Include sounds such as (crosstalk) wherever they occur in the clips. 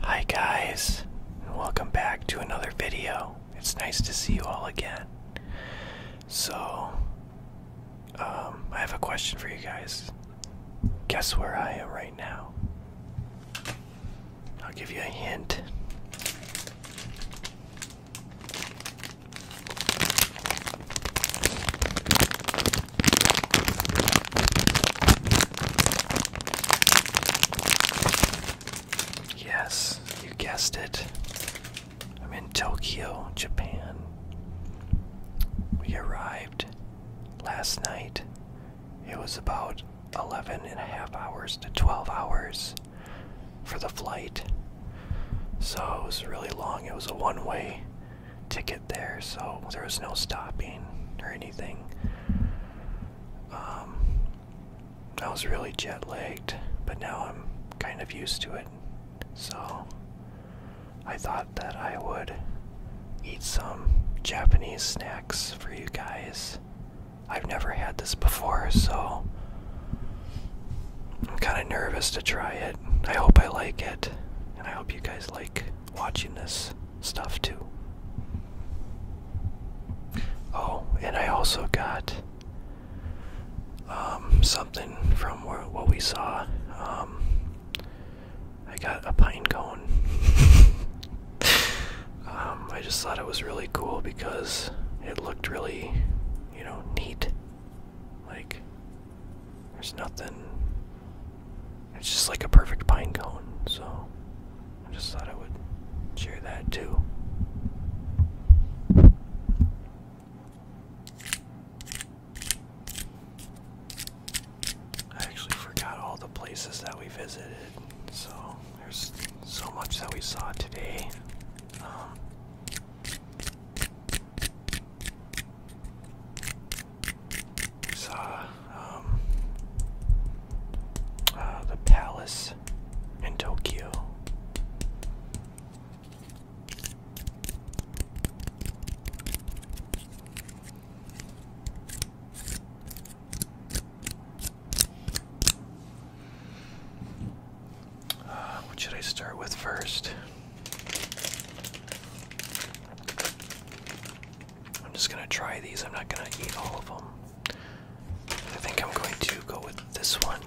Hi guys, and welcome back to another video. It's nice to see you all again. So, um, I have a question for you guys. Guess where I am right now? I'll give you a hint. Yes, you guessed it. I'm in Tokyo, Japan. We arrived last night. It was about 11 and a half hours to 12 hours for the flight. So it was really long. It was a one way ticket there, so there was no stopping or anything. Um, I was really jet lagged, but now I'm kind of used to it. So I thought that I would eat some Japanese snacks for you guys. I've never had this before, so I'm kind of nervous to try it. I hope I like it, and I hope you guys like watching this stuff too. Oh, and I also got um, something from what we saw. Um, I got a pine cone. (laughs) Um, I just thought it was really cool because it looked really, you know, neat. Like, there's nothing. It's just like a perfect pine cone, so I just thought I would share that too. I actually forgot all the places that we visited, so there's so much that we saw today. Um, Saw um, uh, the palace in Tokyo. Uh, what should I start with first? I'm just gonna try these. I'm not gonna eat all of them. I think I'm going to go with this one.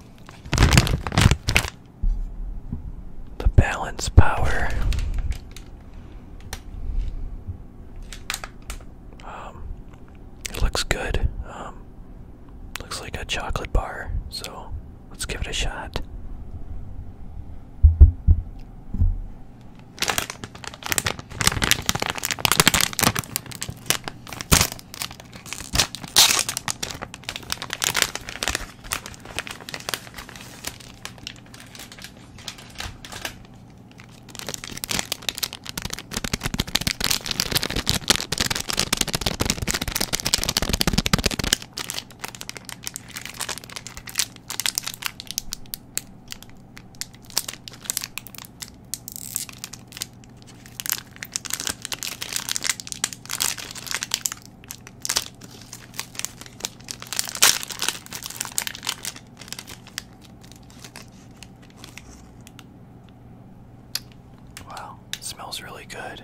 The balance power. Um, it looks good. Um, looks like a chocolate bar, so Let's give it a shot. Wow, smells really good.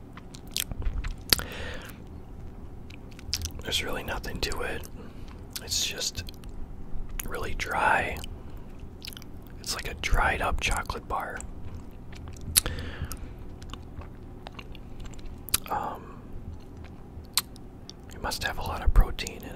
There's really nothing to it. It's just really dry. It's like a dried up chocolate bar. Um, it must have a lot of protein in it.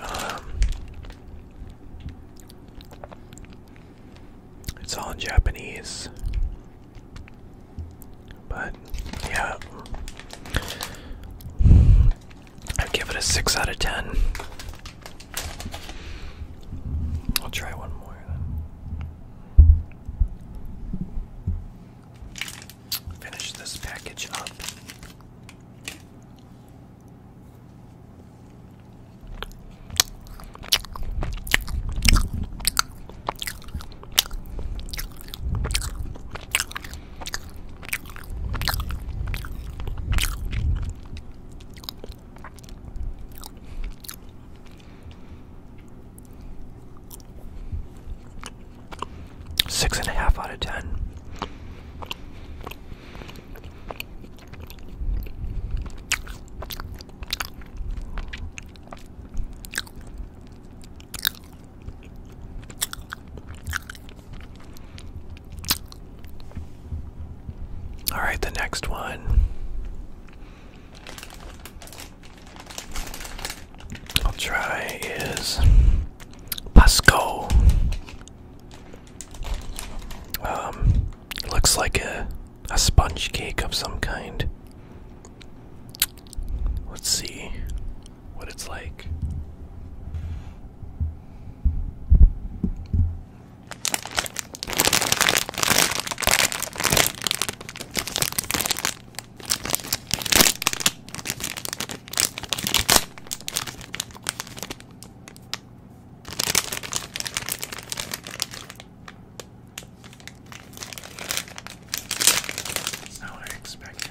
Um, it's all in Japanese, but yeah, I give it a 6 out of 10. I'll try one more Finish this package up. Six and a half out of ten. All right, the next one. I'll try is Pasco. Um, looks like a a sponge cake of some kind. Let's see what it's like. That's not what I expected.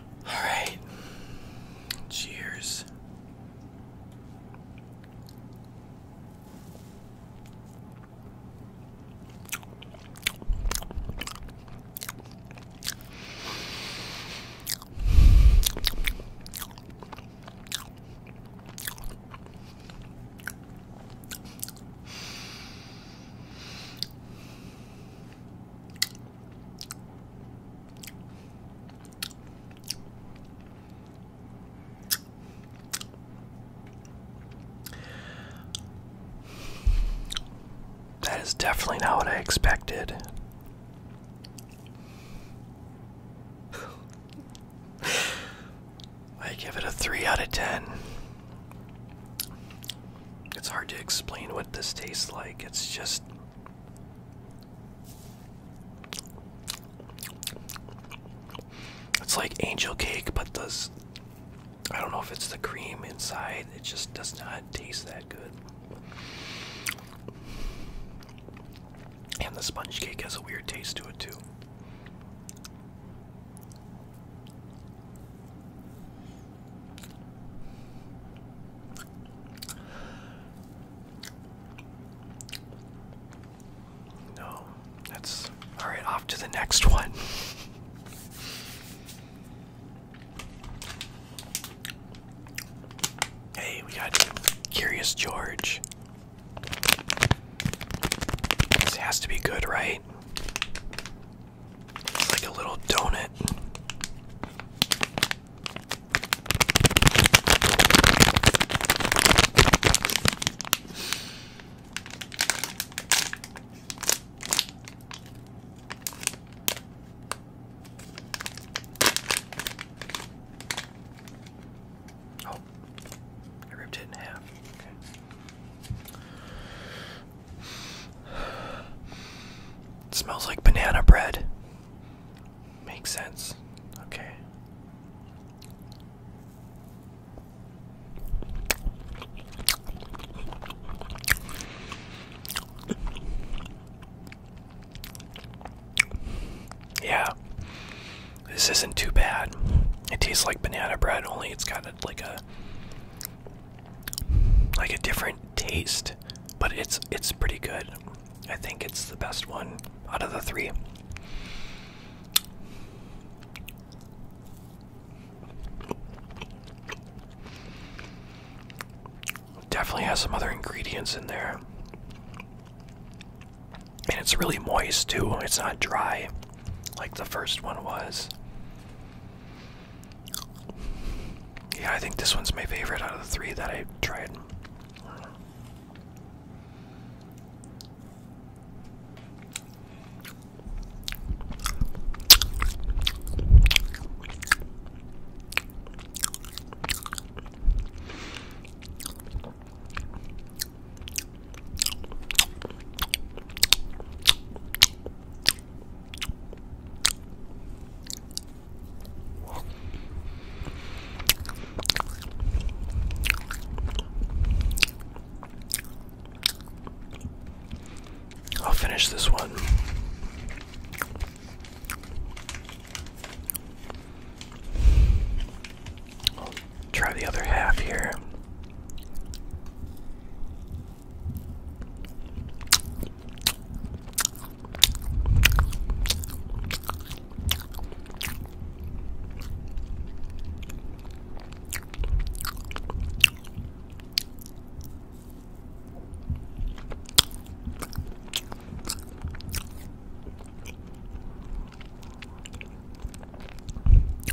All right. Cheers. That is definitely not what I expected. I give it a 3 out of 10. It's hard to explain what this tastes like. It's just it's like angel cake, but does I don't know if it's the cream inside. It just does not taste that good. And the sponge cake has a weird taste to it too. No, that's all right. Off to the next one. hey, we got Curious George. This has to be good, right? It's like a little donut. Oh, I ripped it in half smells like banana bread. Makes sense. Okay. Yeah. This isn't too bad. It tastes like banana bread, only it's got like a like a different taste, but it's it's pretty good. I think it's the best one out of the three. Definitely has some other ingredients in there. And it's really moist too. It's not dry like the first one was. Yeah, I think this one's my favorite out of the three that I tried. I'll finish this one. try the other half here.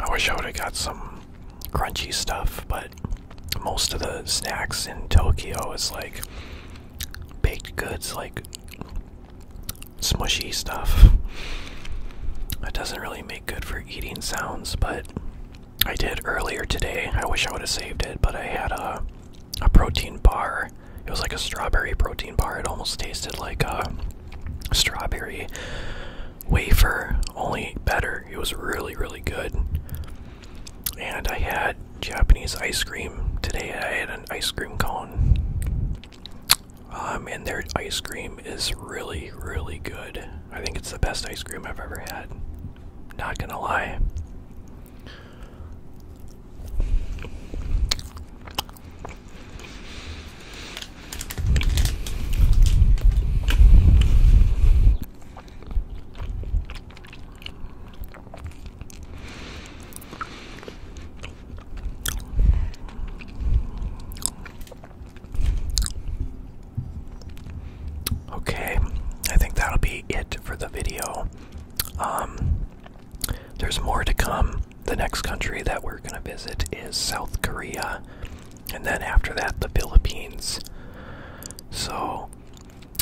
I wish I would have got some crunchy stuff, but most of the snacks in Tokyo is like baked goods, like smushy stuff. That doesn't really make good for eating sounds, but I did earlier today. I wish I would have saved it, but I had a a protein bar. It was like a strawberry protein bar. It almost tasted like a strawberry wafer, only better. It was really, really good. And I had Japanese ice cream today. I had an ice cream cone. Um, and their ice cream is really, really good. I think it's the best ice cream I've ever had. Not gonna lie. Okay, I think that'll be it for the video. Um, there's more to come. The next country that we're going to visit is South Korea and then after that, the Philippines. So,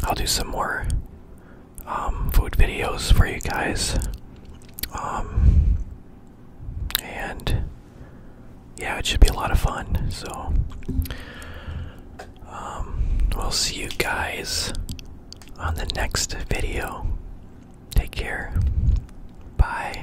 I'll do some more um, food videos for you guys. Um, and yeah, it should be a lot of fun. So, um, we'll see you guys on the next video. Take care. Bye.